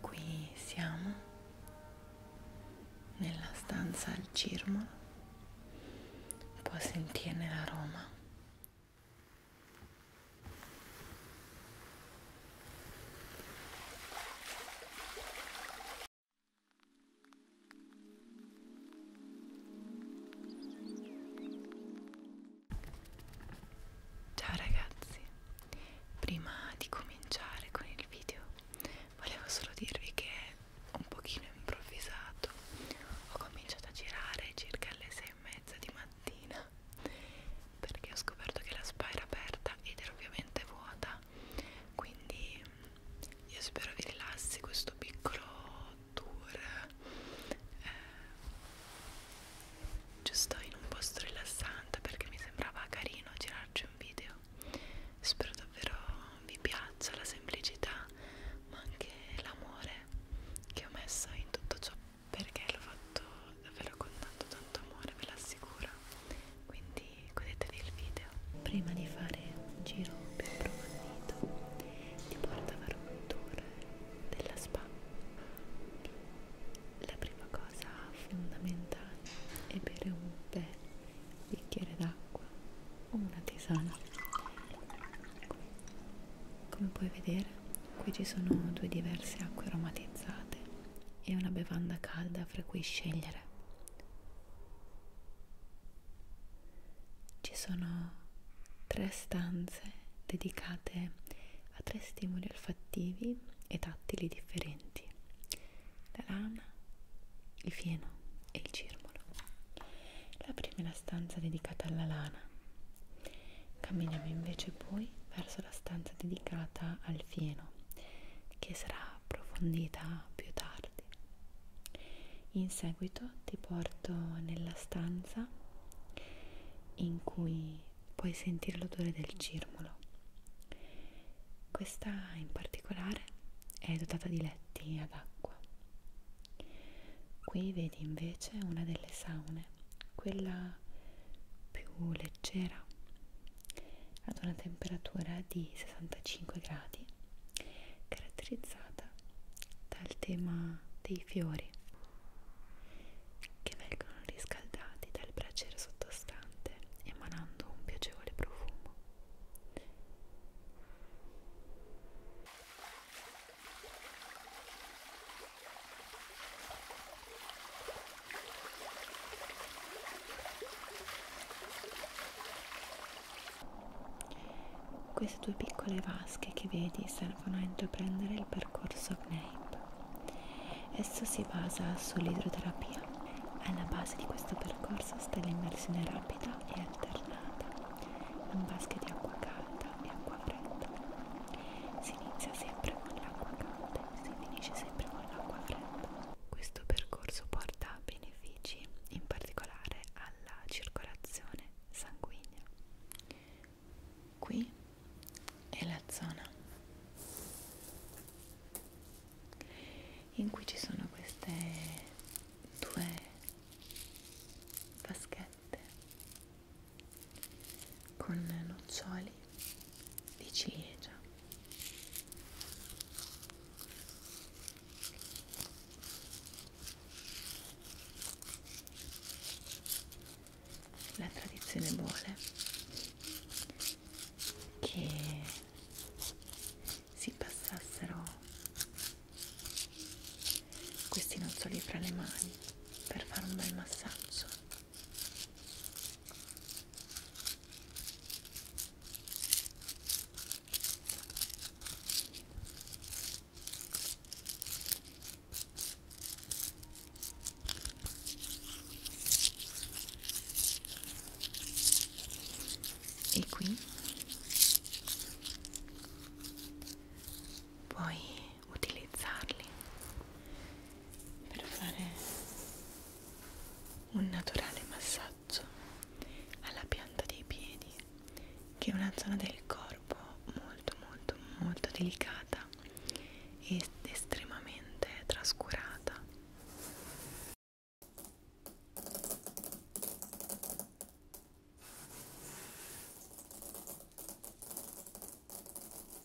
Qui siamo nella stanza al cirmolo, può sentirne l'aroma. Ciao ragazzi, prima di cominciare con il video volevo solo dirvi che un pochino improvvisato ho cominciato a girare circa alle sei e mezza di mattina perché ho scoperto che la spa era aperta ed era ovviamente vuota quindi io spero vi rilassi questo piccolo tour eh, giusto in un posto rilassante perché mi sembrava carino girarci un video spero davvero vi piaccia la semplicità ma anche l'amore che ho messo in tutto ciò perché l'ho fatto davvero con tanto tanto amore ve l'assicuro quindi quindi godetevi il video prima di fare un giro più approfondito ti porto a fare un tour della spa la prima cosa fondamentale è bere un bel bicchiere d'acqua o una tisana come puoi vedere qui ci sono due diverse acque aromatizzate e una bevanda calda fra cui scegliere ci sono tre stanze dedicate a tre stimoli olfattivi e tattili differenti, la lana, il fieno e il cirmolo. La prima è la stanza dedicata alla lana. Camminiamo invece poi verso la stanza dedicata al fieno, che sarà approfondita più tardi. In seguito ti porto nella stanza in cui puoi sentire l'odore del cirmolo. Questa in particolare è dotata di letti ad acqua. Qui vedi invece una delle saune, quella più leggera, ad una temperatura di 65 gradi caratterizzata dal tema dei fiori che vengono riscaldati dal braciere sottostante emanando un piacevole profumo. Queste due piccole vasche che vedi servono a intraprendere il percorso Gnape. Esso si basa sull'idroterapia. Alla base di questo percorso sta l'immersione rapida e alternata in vasche di acqua calda e acqua fredda. Si inizia sempre con l'acqua calda e si finisce sempre con l'acqua fredda. Questo percorso porta a benefici, in particolare alla circolazione sanguigna. Qui è la zona in cui ci sono queste due vaschette con noccioli di ciliegia eh, la tradizione vuole che si passassero questi noccioli fra le mani per fare un bel massaggio e qui puoi utilizzarli per fare un naturale massaggio alla pianta dei piedi che è una zona del corpo molto molto molto delicata ed estremamente trascurata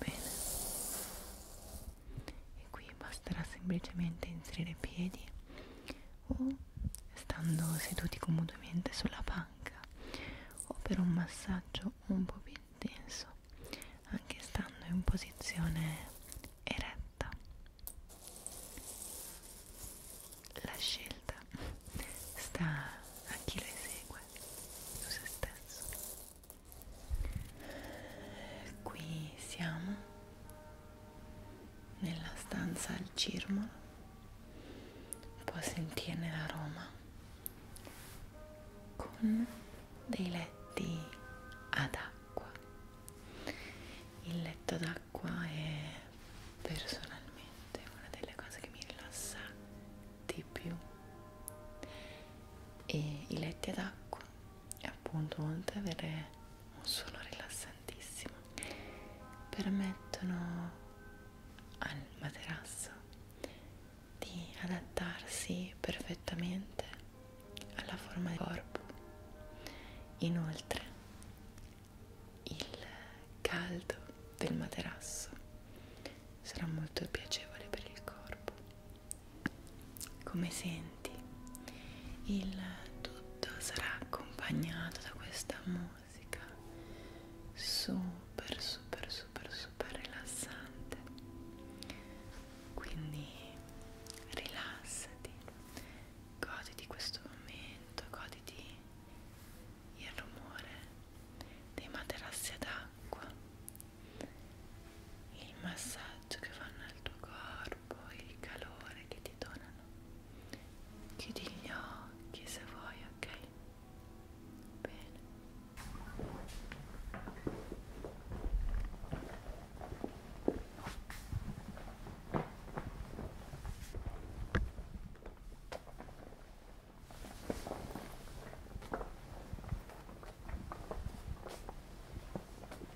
Bene, e qui basterà semplicemente inserire i piedi o stando seduti comodamente sulla panca o per un massaggio un po' più intenso, anche stando in posizione eretta. La scelta sta a chi lo esegue su se stesso. Qui siamo nella stanza al cirmolo può sentirne l'aroma con dei letti ad acqua il letto d'acqua è personalmente una delle cose che mi rilassa di più e i letti ad acqua e appunto oltre ad avere un suono rilassantissimo permettono al materasso di adattarsi perfettamente alla forma del corpo inoltre il caldo del materasso sarà molto piacevole per il corpo come senti avanti il tutto sarà accompagnato da questa musica super super super super rilassante quindi rilassati goditi questo momento goditi il rumore dei materassi d'acqua il massaggio che fanno al tuo corpo, il calore che ti donano. Chiudi gli occhi se vuoi, ok? Bene. Bene.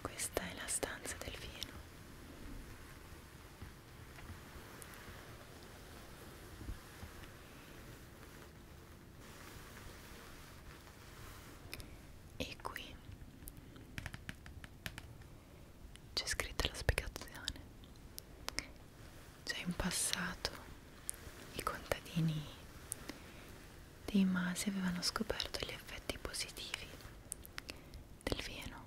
Questa è la stanza del vino e qui c'è scritta la spiegazione cioè in passato i contadini dei masi avevano scoperto gli effetti positivi del vino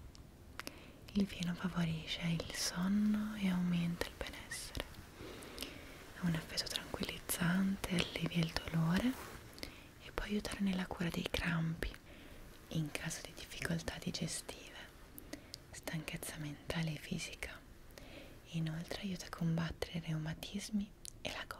il vino favorisce il sonno e aumenta il benessere ha un effetto tranquillizzante allevia il dolore e può aiutare nella cura dei crampi in caso di difficoltà digestive, stanchezza mentale e fisica. Inoltre aiuta a combattere i reumatismi e la gotta.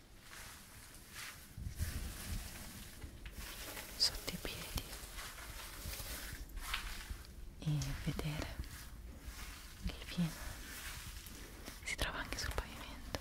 sotto i piedi e vedere il fieno si trova anche sul pavimento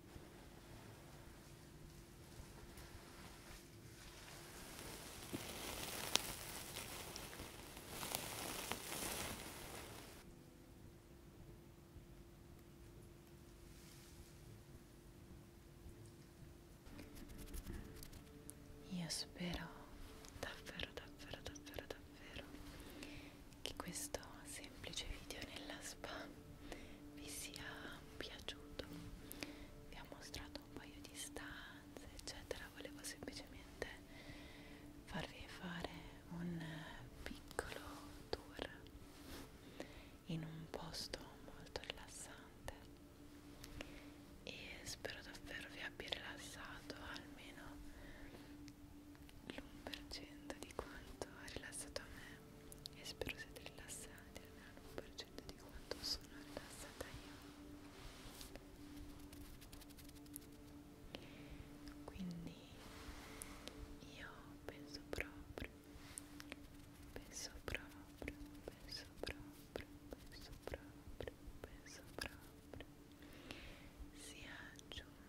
Io spero davvero davvero davvero davvero che questo semplice video nella spa vi sia piaciuto vi ho mostrato un paio di stanze eccetera volevo semplicemente farvi fare un piccolo tour in un posto molto rilassante e spero davvero vi abbia rilassato almeno l'1% di quanto ha rilassato a me e spero siate rilassati almeno l'1% di quanto sono rilassata io quindi io penso proprio penso proprio penso proprio penso proprio penso proprio sia giunto